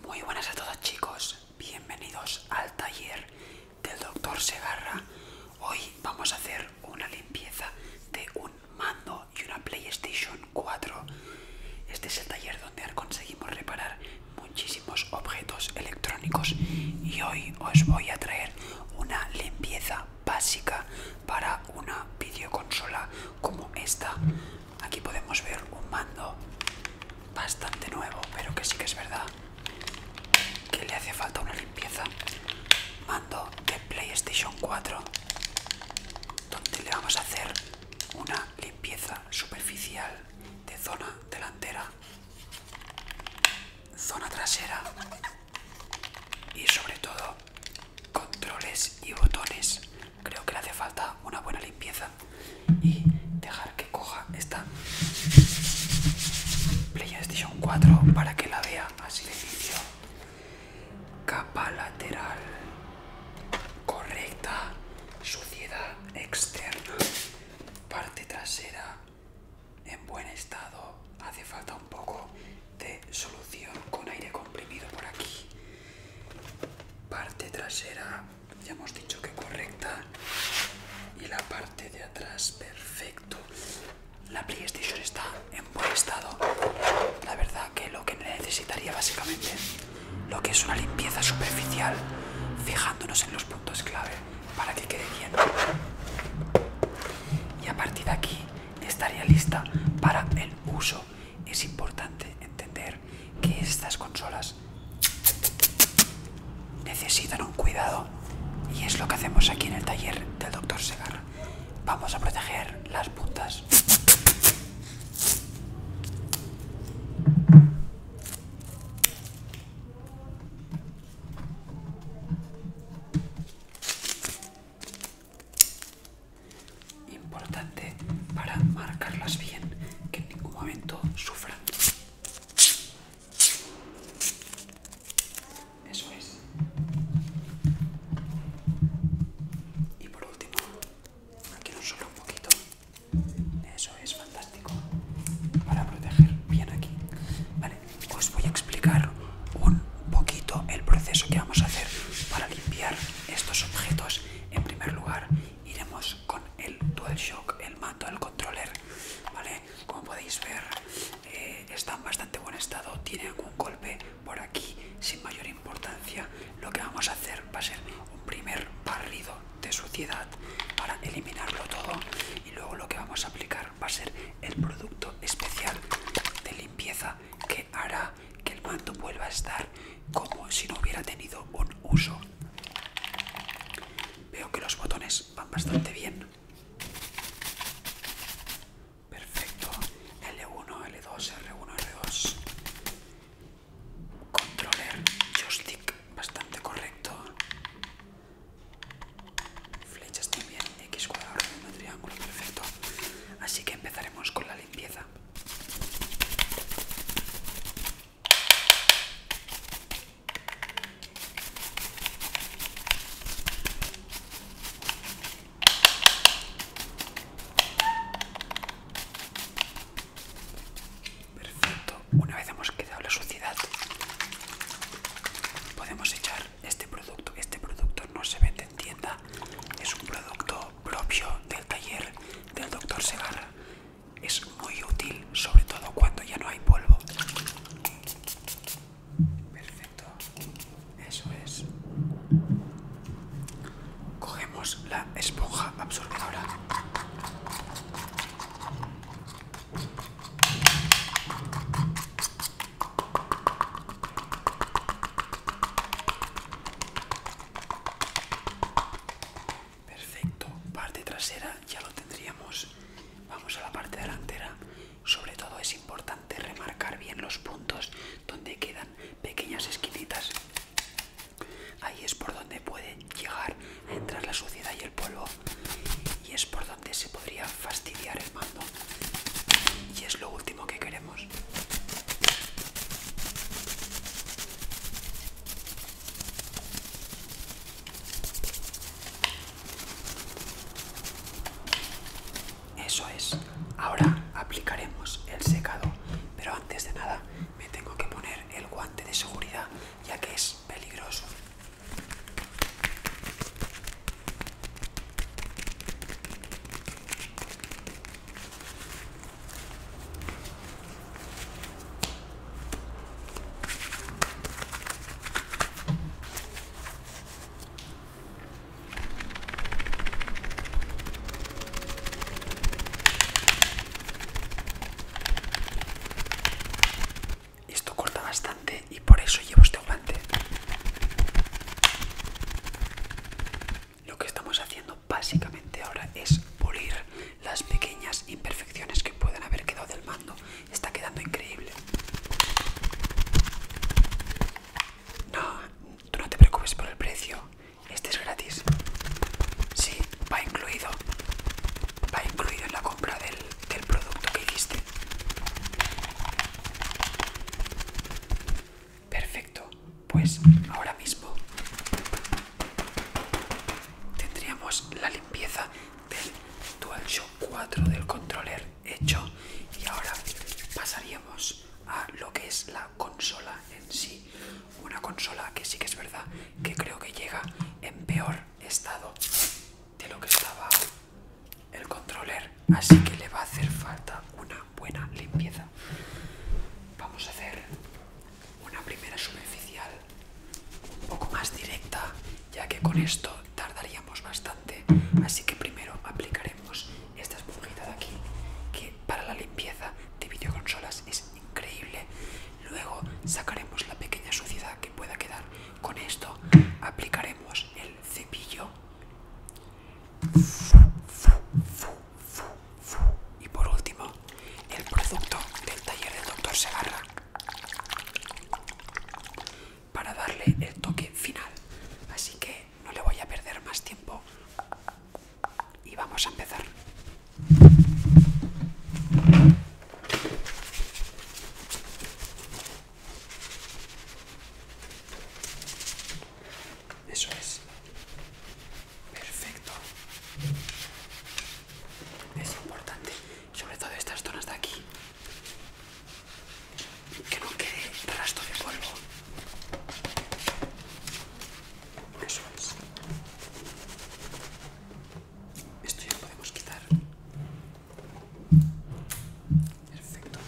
Muy buenas a todos chicos, bienvenidos al taller del doctor Segarra. Hoy vamos a hacer una limpieza de un mando y una PlayStation 4. Este es el taller donde conseguimos reparar muchísimos objetos electrónicos y hoy os voy a traer una limpieza básica para una videoconsola como esta. Aquí podemos ver un mando bastante nuevo, pero que sí que es verdad que le hace falta una limpieza. Mando de PlayStation 4, donde le vamos a hacer una limpieza superficial de zona delantera, zona trasera y sobre todo controles y botones creo que le hace falta una buena limpieza y dejar que coja esta PlayStation 4 para que la vea así de Capa lateral correcta, suciedad externa, parte trasera en buen estado. Hace falta un poco de solución con aire comprimido por aquí. Parte trasera ya hemos dicho que correcta y la parte de atrás perfecto la playstation está en buen estado la verdad que lo que necesitaría básicamente lo que es una limpieza superficial fijándonos en los puntos clave para que quede bien y a partir de aquí estaría lista para el uso es importante entender que estas consolas necesitan un cuidado y es lo que hacemos aquí en el taller del doctor Segarra. Vamos a proteger las puntas. Importante para marcarlas bien, que en ningún momento sufran. Eso es. Y por último, aquí no solo un poquito. Eso es fantástico para proteger bien aquí. Vale, os voy a explicar un poquito el proceso que vamos a hacer para limpiar estos objetos en primer lugar iremos con el DualShock, el mando, el controller, ¿vale? Como podéis ver, eh, está en bastante buen estado, tiene algún golpe por aquí sin mayor importancia. Lo que vamos a hacer va a ser un primer barrido de suciedad para eliminarlo todo y luego lo que vamos a aplicar va a ser el producto especial de limpieza que hará que el mando vuelva a estar como si no hubiera tenido un uso. Veo que los botones van bastante bien. Perfecto. L1, L2, R1, R2. Controller, joystick, bastante correcto. Flechas también, X cuadrado, triángulo, perfecto. Así que empezaremos con la limpieza. Perfecto, una vez hemos quedado la suciedad, podemos echar este producto. Este producto no se vende en tienda, es un producto propio del taller del doctor Segarra. Es muy útil, sobre todo cuando ya no hay polvo. Perfecto, eso es. Cogemos la esponja absorbedora. Perfecto, parte trasera ya lo tendríamos. Vamos a la parte delantera. Sobre todo es importante remarcar bien los puntos donde quedan pequeñas esquinitas. Ahí es por donde puede llegar a entrar la suciedad y el polvo. Y es por donde se podría fastidiar el mando. Y es lo último que queremos eso es. Ahora aplicaremos el secado, pero antes de nada me tengo que poner el guante de seguridad ya que es peligroso. Esto corta bastante y por eso llevo este guante. Lo que estamos haciendo básicamente ahora es pulir las pequeñas imperfecciones que puedan haber quedado del mando. Está quedando increíble. No, tú no te preocupes por el precio. Este es gratis. Sí, va incluido. Va incluido en la compra del, del producto que hiciste. Perfecto, pues ahora mismo tendríamos la limpieza del DualShock 4 del controller hecho y ahora pasaríamos a lo que es la consola en sí. Una consola que sí que es verdad que creo que llega en peor estado de lo que estaba el controller, así que le va a hacer falta una buena limpieza. Vamos a hacer una primera superficial un poco más directa, ya que con esto tardaríamos bastante. Así que primero aplicaremos esta esponjita de aquí, que para la limpieza de videoconsolas es increíble. Luego sacaremos la pequeña suciedad que pueda quedar. Con esto aplicaremos el cepillo. Y por último, el producto del taller del doctor Segarra para darle el toque final. Así que no le voy a perder más tiempo y vamos a empezar. Eso es. Perfecto. Es importante, sobre todo estas zonas de aquí, que no quede rastro de polvo. Eso es. Esto ya lo podemos quitar. Perfecto.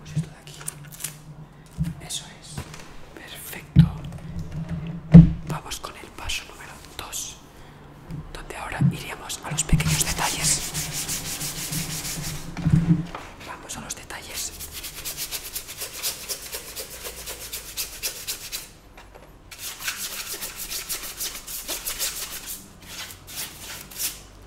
Pues Eso es. Perfecto. Vamos con el paso número 2, donde ahora iríamos a los pequeños detalles. Vamos a los detalles.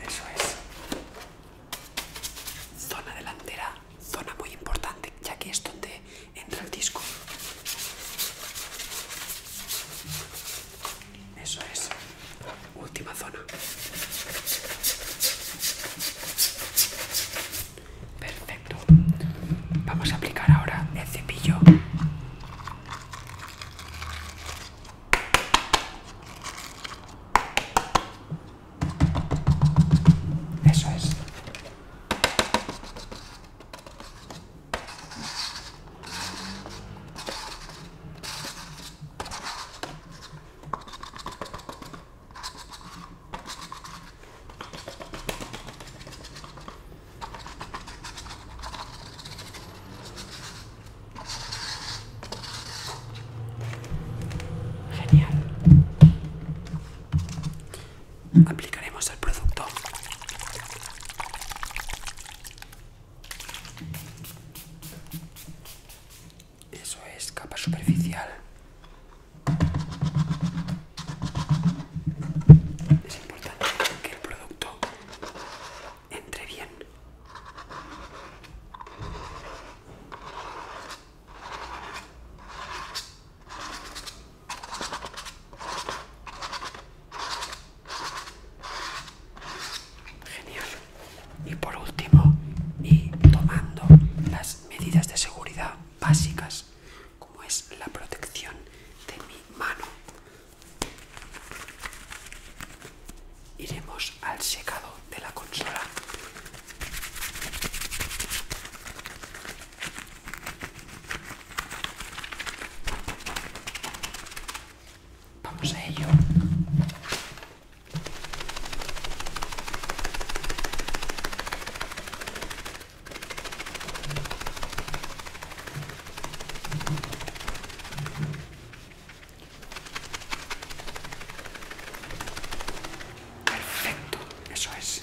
Eso es. Zona delantera, zona muy importante, ya que es donde entra el disco. Eso es. Última zona. Perfecto. Vamos a aplicar ahora el cepillo. Eso es. Genial. Aplicaremos el producto. Eso es capa superficial. Es importante que el producto entre bien. Genial. Y por último, y tomando las medidas de seguridad básicas como es la protección de mi mano. Iremos al secado de la consola. Vamos a ello. Perfecto, eso es.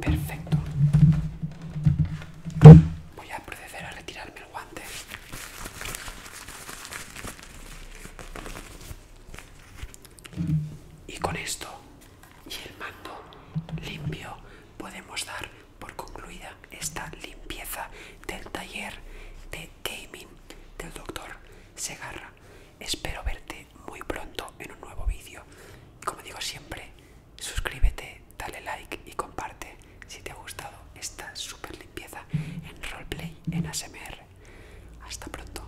Perfecto. Voy a proceder a retirarme el guante. Y con esto y el mando limpio, podemos dar por concluida esta limpieza del taller de gaming del doctor Segarra. Espero verte muy pronto en un nuevo vídeo. Como digo siempre, suscríbete, dale like y comparte si te ha gustado esta super limpieza en roleplay en ASMR. Hasta pronto.